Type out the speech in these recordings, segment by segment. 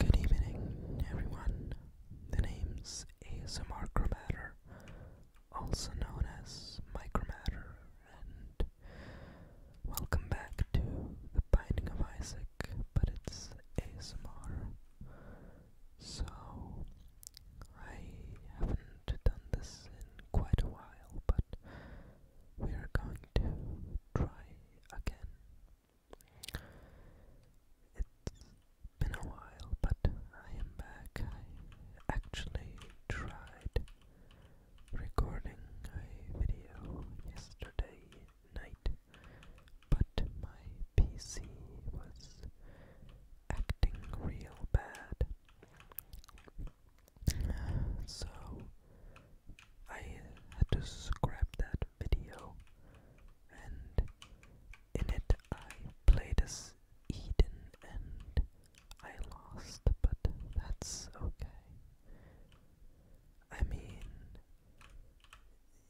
Good evening, everyone. The name's ASMR Chromatter, also known as Micromatter, and welcome back to The Binding of Isaac, but it's ASMR. So, I haven't done this in quite a while, but we are going to try again. It's been a while, but I am back. I actually tried recording a video yesterday night, but my PC was acting real bad. So I had to scrap that video, and in it I played as Eden and I lost, but that's okay. I mean,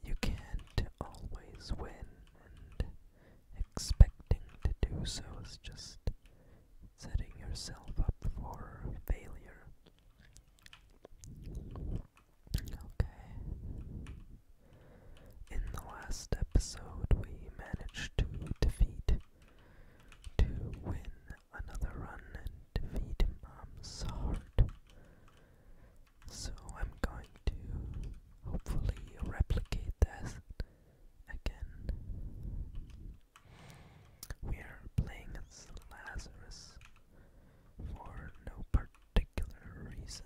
you can't always win, and expecting to do so is just setting yourself up for failure. Okay. In the last episode, we managed to defeat, to win another run and defeat Mom's heart. So I'm going to hopefully replicate this again. We are playing as Lazarus for no particular particular reason,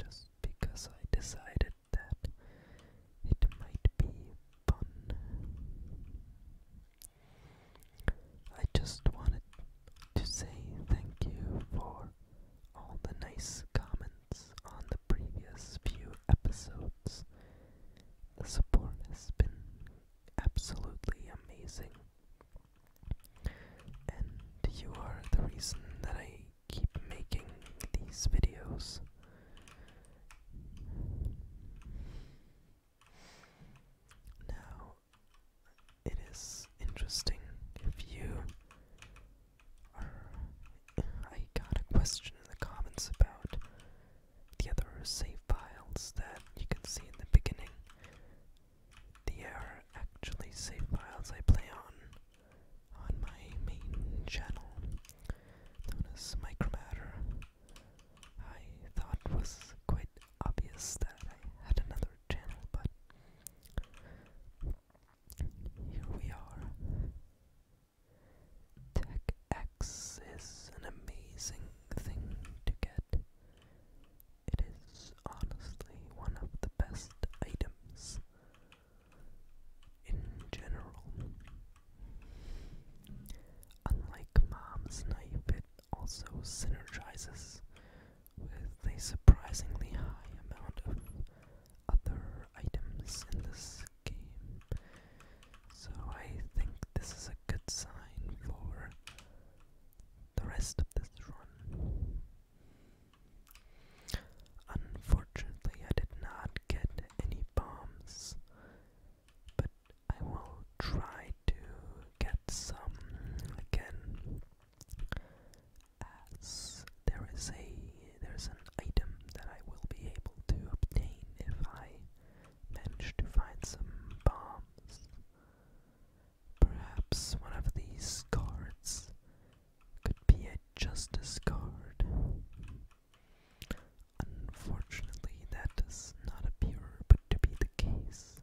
just because I decided that it might be fun. I just wanted to say thank you for all the nice comments on the previous few episodes. The support has been absolutely amazing. And you are the reason that I keep making these videos. Now, it is interesting if you are. I got a question in the comments about the other save files that you can see in the beginning the error actually save files I play on on my main channel, known Micromatter. I thought was quite obvious that I had another channel, but here we are. TechX is an amazing thing to get. It is honestly one of the best items in general. Unlike Mom's knife, it also synergizes with a surprisingly high amount of other items in this game. So I think this is a good sign for the rest of this run. Unfortunately, I did not get any bombs, but I will try to get some again as there is a there's an item that I will be able to obtain if I manage to find some bombs. Perhaps one of these cards could be a justice card. Unfortunately, that does not appear to be the case.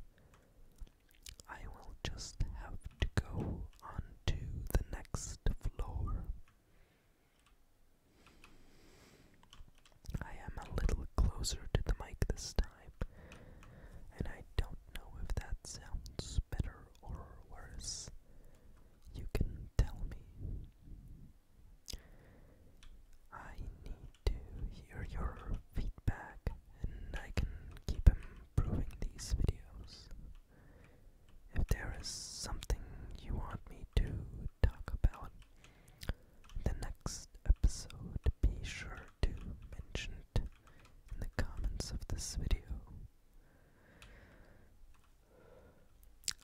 I will just have to go on to the next floor. I am a little closer to the mic this time. And I don't know if that sounds better or worse. You can tell me. I need to hear your feedback and I can keep improving these videos. If there is something you want me to talk about the next episode, be sure to mention it in the comments of this video.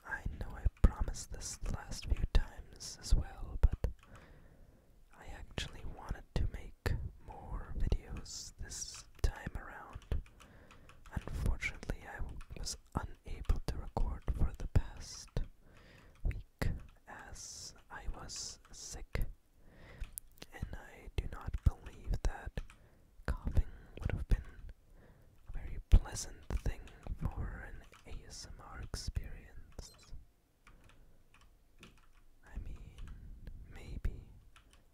I know I promised this the last few times as well, but I actually wanted to make more videos this time around. Unfortunately, I was unable to record for the past week as I was sick and I do not believe that coughing would have been a very pleasant thing for an ASMR experience. I mean, maybe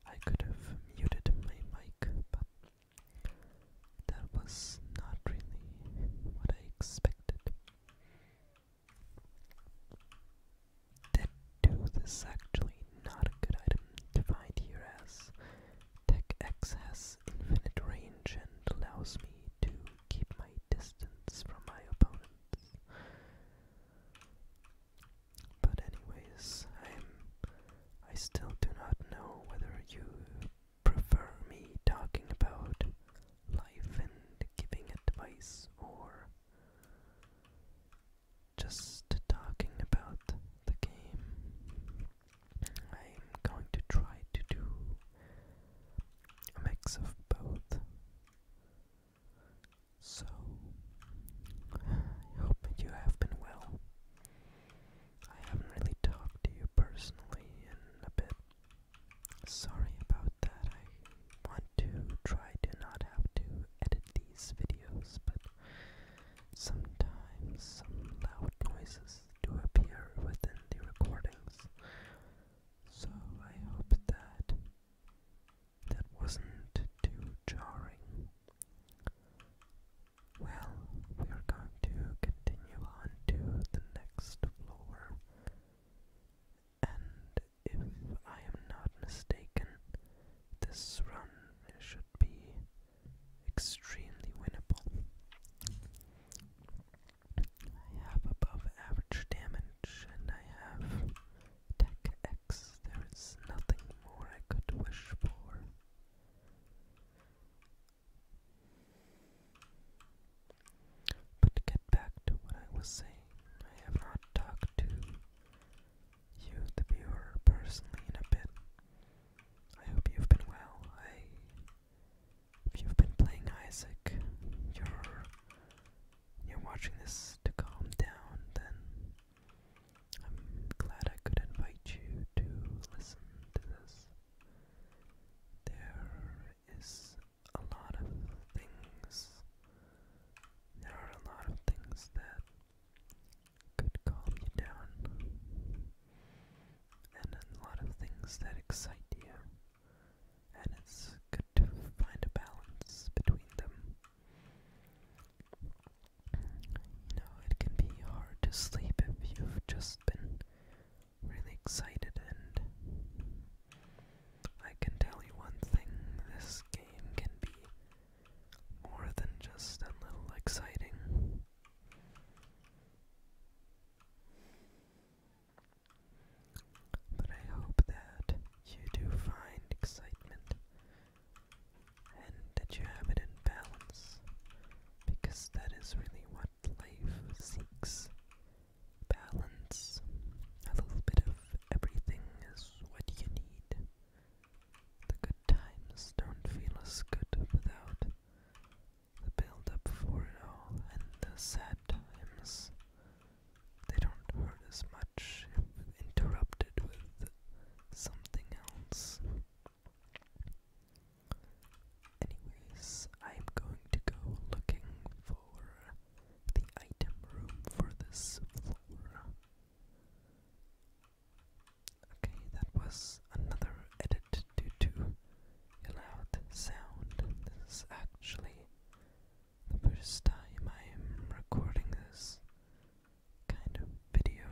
I could have muted my mic, but that was not really what I expected. That tooth is actually not a good item to here as Tech X infinite range and allows me to keep my distance from my opponents. But anyways, I'm I still do not know whether you prefer me talking about life and giving advice or just talking about the game. I'm going to try to do a mix of both. So, I hope you have been well. I haven't really talked to you personally in a bit. Sorry about that want to try to not have to edit these videos, but sometimes some loud noises do appear within the recordings. So I hope that that wasn't too jarring. Well, we are going to continue on to the next floor and if I am not mistaken, this run should be extremely winnable. I have above average damage and I have Tech X. There is nothing more I could wish for. But to get back to what I was saying, I have not talked to you, the viewer, personally in a bit. I hope you've been well. I if you've been playing Isaac, you're you're watching this to calm down, then I'm glad I could invite you to listen to this. There is a lot of things there are a lot of things that could calm you down, and a lot of things that excite you, and it's good to find a balance between them. You know, it can be hard to sleep if you've just been really excited and I can tell you one thing this game can be more than just a little exciting. But I hope that you do find excitement and that you have it in balance because that is really what life seeks balance. A little bit of everything is what do you need? The good times don't feel as good without the build for it all, and the sad times they don't hurt as much if interrupted with something else. Anyways, I'm going to go looking for the item room for this floor. Okay, that was another edit due to a loud sound. This is actually the first time I'm recording this kind of video,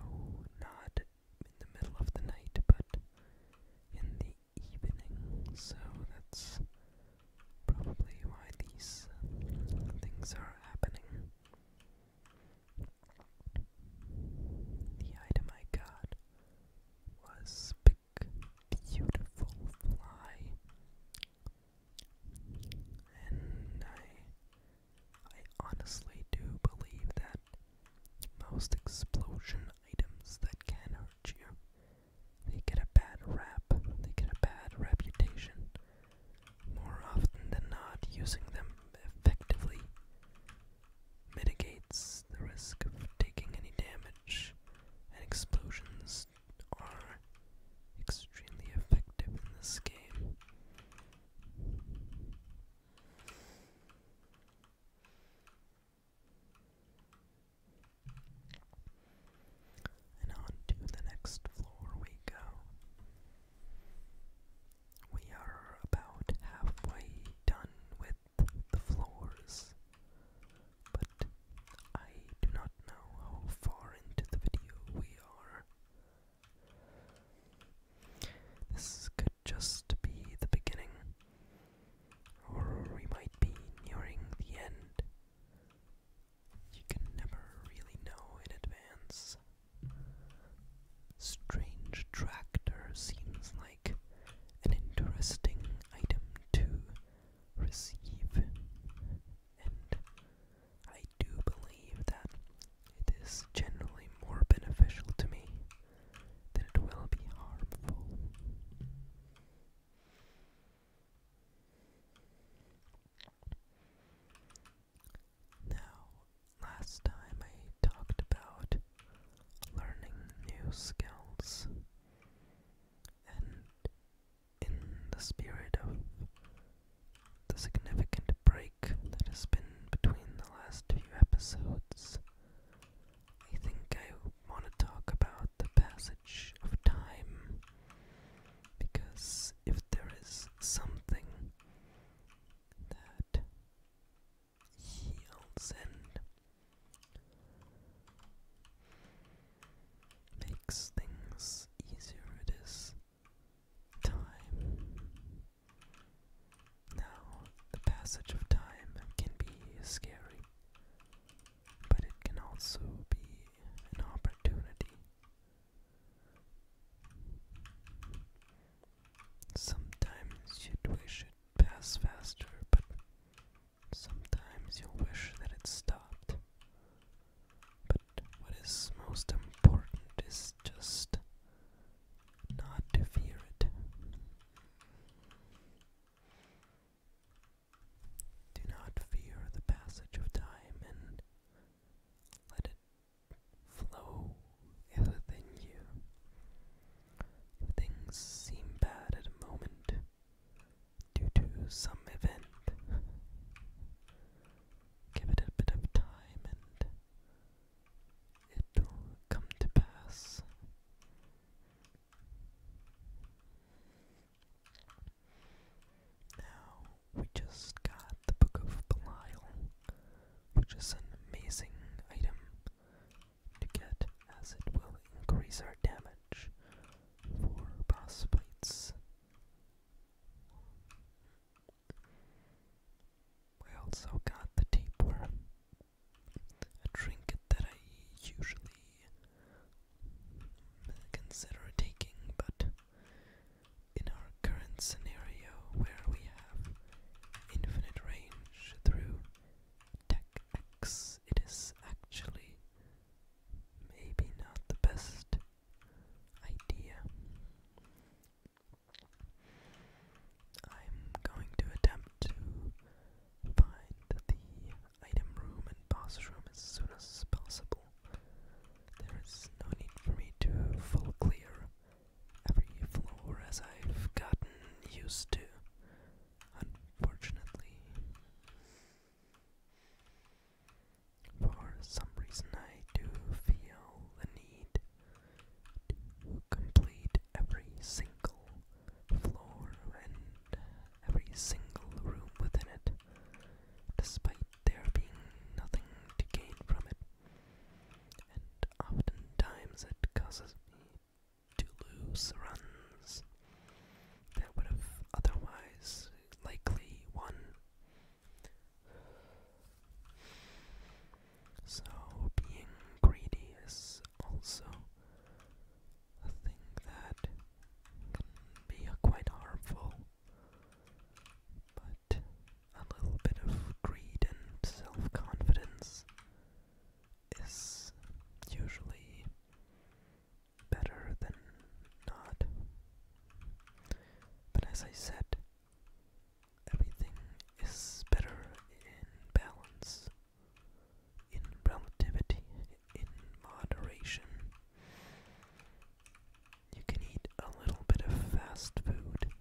not in the middle of the night, but in the evening, so that's probably why these uh, things are happening. The item I got was big, beautiful fly, and I, I honestly do believe that most explosion items that can hurt you, they get a bad rap, they get a bad reputation more often than not, using them effectively mitigates the risk of taking any damage, and explosions are extremely effective in this game. And on to the next floor we go. We are about halfway done with the floors, but I do not know how far into the video we are. This could just be the beginning, or we might be nearing the end. You can never really know in advance. Strange Tractor seems like an interesting item to receive, and I do believe that it is generally more beneficial to me than it will be harmful. Now, last time I talked about learning new skills, and in the spirit of the significant break that has been between the last few episodes, I think I want to talk about the passage of time because if there is something that heals and makes things easier it is time. Now, the passage of time can be scary, but it can also be an opportunity Sometimes you'd wish it passed faster, but sometimes you wish that it stopped. But what is most important is just not to fear it. Do not fear the passage of time and let it flow within you. If things seem bad at a moment due to some event, give it a bit of time and it'll come to pass. Now we just got the Book of Belial, which is an amazing item to get as it will increase our damage for boss We also got the Worm, a trinket that I usually consider taking, but in our current scenario, where we have infinite range through tech X, it is actually maybe not the best idea. I'm going to attempt to find the item room and boss room as soon as possible. There is no need for me to full clear every floor as I've gotten used to, unfortunately. For some reason, I do feel the need to complete every single floor and every single room within it, despite there being nothing to gain from it, and oftentimes it causes me to lose runs that would have otherwise likely won. So, being greedy is also a thing that can be uh, quite harmful, but but a little bit of greed and self confidence is usually better than not. But as I said, everything is better in balance, in relativity, in moderation. You can eat a little bit of fast food,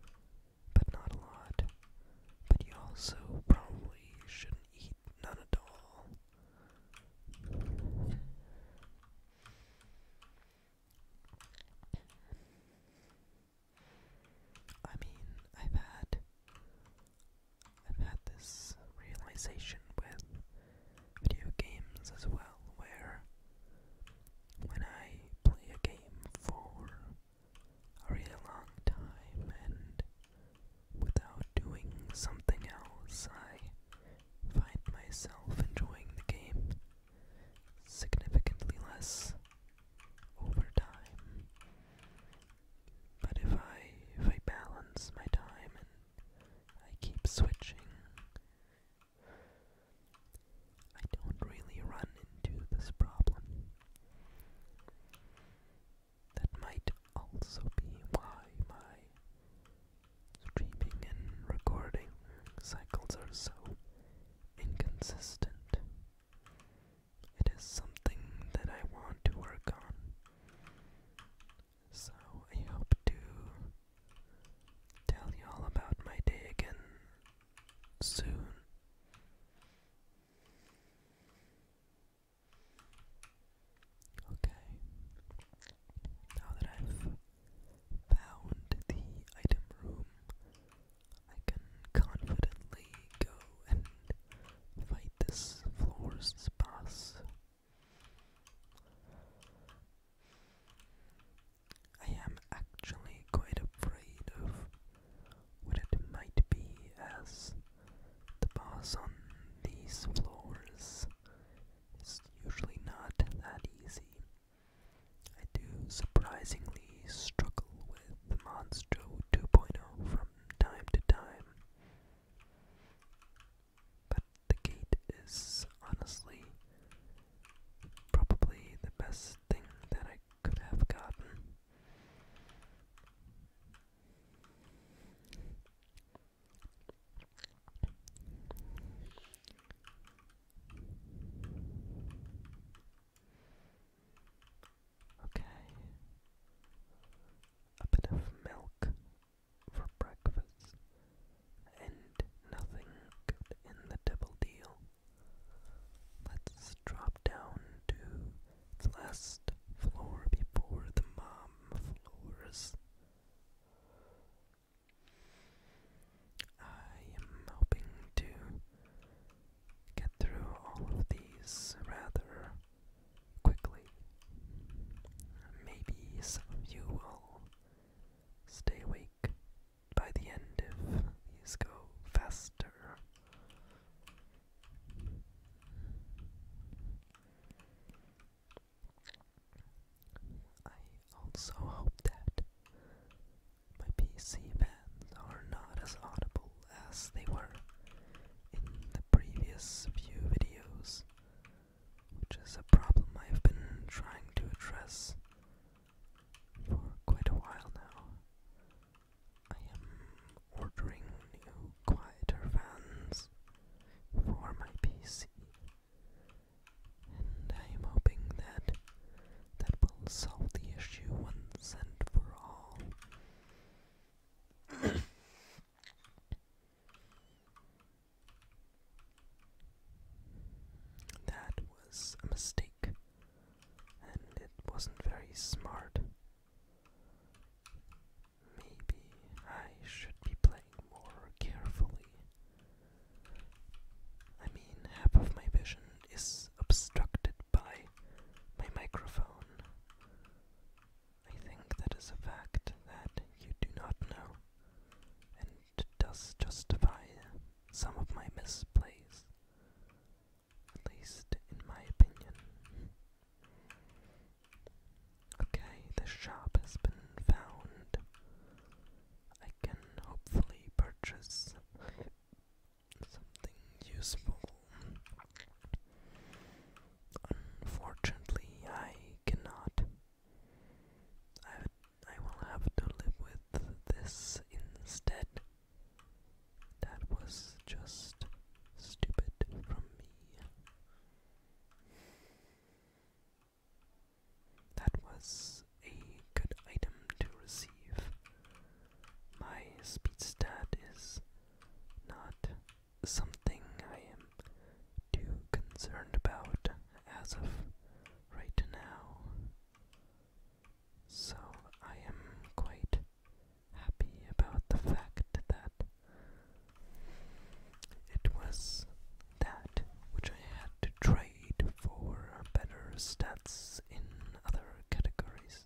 but not a lot. But you also probably shouldn't eat none at all. I mean, I've had I've had this realization with video games as well, where when I play a game for a really long time and without doing something else, I find myself enjoying the game significantly less over time. But if I if I balance my time and I keep switching I don't really run into this problem. That might also be why my streaming and recording cycles are so inconsistent. It is something that I want to work on. So I hope to Tell you all about my day again soon. Okay. Now that I've found the item room, I can confidently go and fight this floor's boss. I am actually quite afraid of what it might be as the boss on these floors is usually not that easy. I do surprisingly struggle with Monster 2.0 from time to time. But the gate is honestly probably the best thing that I could have gotten. Okay. A bit of milk for breakfast and nothing good in the double deal. Let's drop down to the last floor before the mom floors. I am hoping to get through all of these rather quickly. Maybe some of you will stay awake by the end if these go faster. I also hope that my PC fans are not as audible as they were in the previous few videos, which is a problem I've been trying to address for quite a while now. I am ordering new quieter fans for my PC, and I am hoping that that will solve the issue once and for all. That was a mistake, and it wasn't very smart. Maybe I should be playing more carefully. I mean, half of my vision is obstructed by my microphone. I think that is a fact that you do not know, does justify some of my misplays, at least in my opinion. Okay, the shop has been found. I can hopefully purchase something useful. Unfortunately, I cannot I, I will have to live with this instead. That was just stupid from me. That was a good item to receive. My speed stat is not something I am too concerned about as of right now. So I am quite happy about the fact that it was that which I had to trade for better stats in other categories.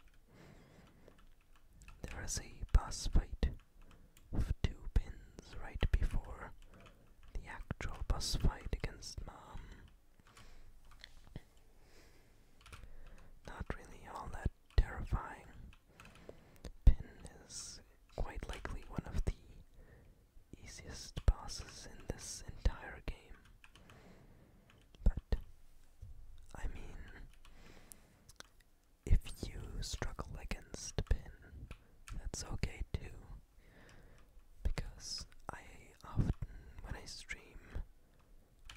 There is a bus fight of two pins right before the actual bus fight against Mom. Not really all that terrifying. Pin is quite likely one of the easiest bosses in this entire game. But, I mean, if you struggle against Pin, that's okay too because I often, when I stream,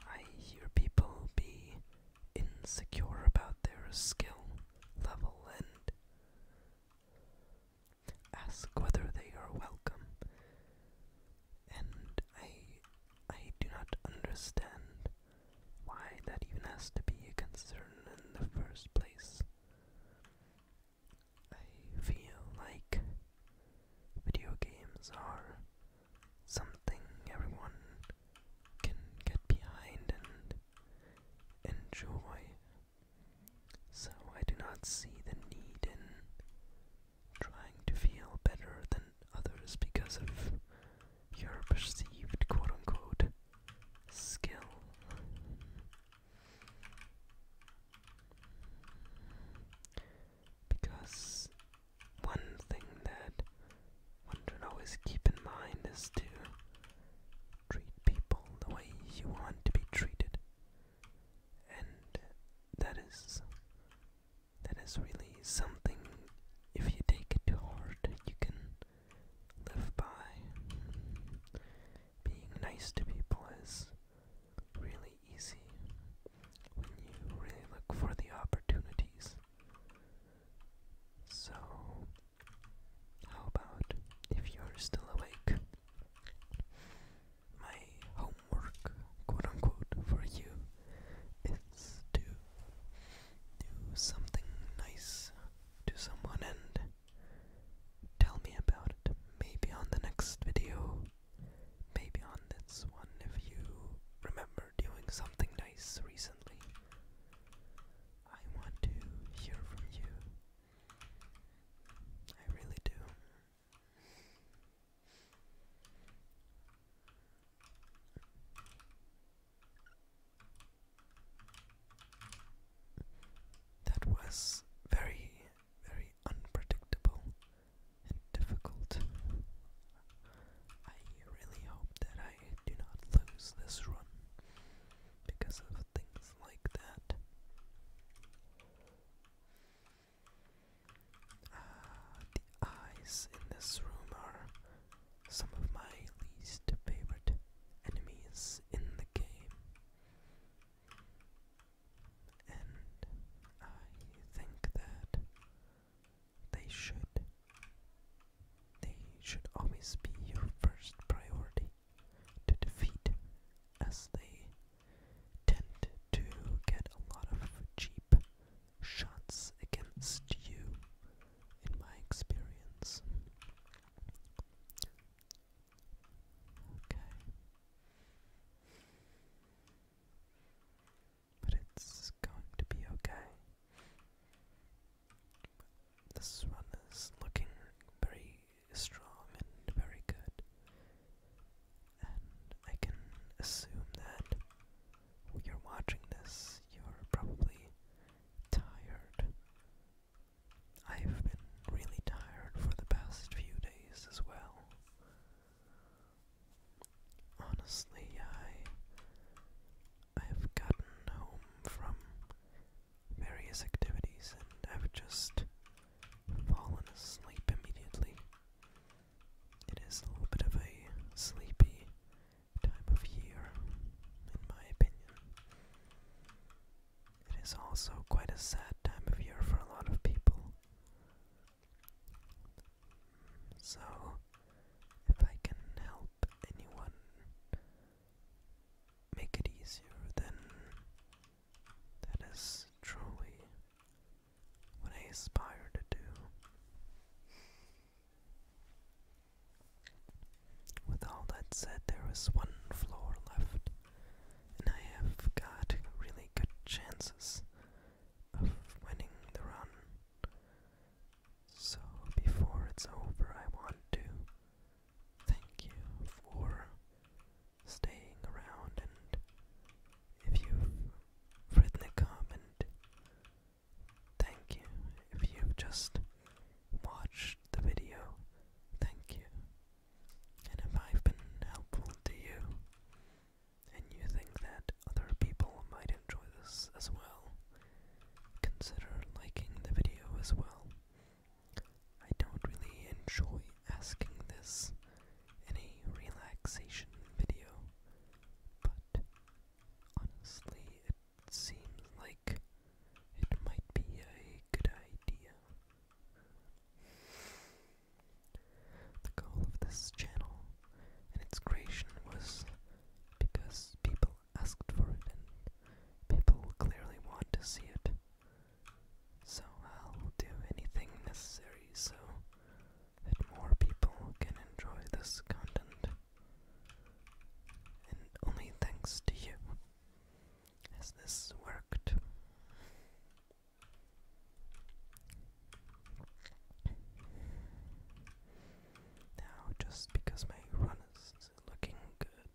I hear people be insecure about their skill level and ask whether they are welcome. And I I do not understand why that even has to be a concern in the first place. I feel like video games are something everyone can get behind and enjoy. So I do not see the need in trying to feel better than others because of your perceived quote unquote skill. Because one thing that one should always keep in mind is to treat people the way you want to be treated. And that is that is really something if you take it to heart you can live by. Being nice to people is really easy when you really look for the opportunities. So, how about if you're still awake? My homework, quote unquote, for you is to do something nice to someone and Tell me about it. Maybe on the next video. Maybe on this one if you remember doing something nice recently. I want to hear from you. I really do. That was very very unpredictable and difficult. I really hope that I do not lose this run because of things like that. Ah, the eyes in this room are some of my least favorite enemies in the game and I think that they should they should always be your first priority to defeat as they tend to get a lot of cheap shots against you in my experience Okay. But it's going to be okay. This run is looking very strong and very good. And I can assume that you're watching this, you're probably tired I've been really tired for the past few days as well. Honestly, I I've gotten home from various activities and have just fallen asleep immediately. It is a bit of a sleepy time of year, in my opinion. It is also quite a sad time of year for a lot of people. So, if I can help anyone make it easier, then that is truly what I aspire to do. With all that said, there is one floor left and I have got really good chances of winning the run. So before it's over, I want to thank you for staying around and if you've written a comment, thank you. If you've just watched the video, thank you. And if I've been helpful to you, and you think that other people might enjoy this as well, consider liking the video as well. I don't really enjoy asking this in a relaxation video, but honestly, it seems like it might be a good idea. The goal of this channel and its creation was because people asked for it and people clearly want to see it. So I'll do anything necessary so that more people can enjoy this content. And only thanks to you has this worked. Now, just because my run is looking good,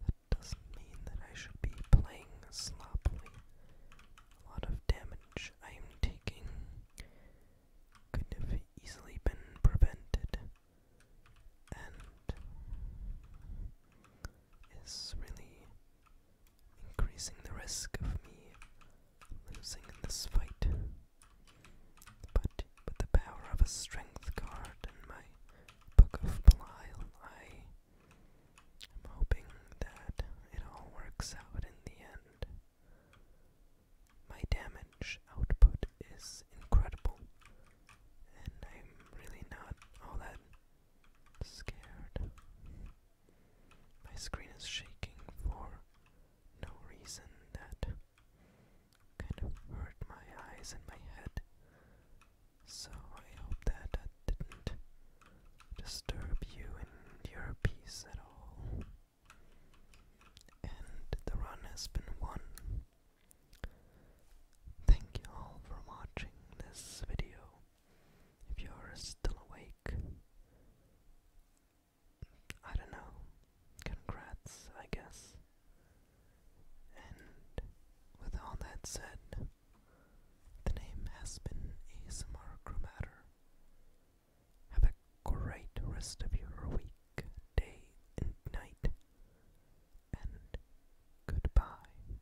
that doesn't mean that I should be playing sloppily. A lot of damage I am taking could have easily been prevented, and is really increasing the risk of me losing in this fight. But with the power of a strength card and my Book of Belial, I am hoping that it all works out in the end. My damage output is incredible, and I'm really not all that scared. My screen is shaking for no reason that kind of hurt my eyes and my head. So I hope that that didn't disturb you and your peace at all. And the run has been won. Thank you all for watching this video if you're still awake. I don't know. Congrats, I guess. And with all that said, the name has been ASMR Chromator. Have a great rest of your week, day, and night. And goodbye.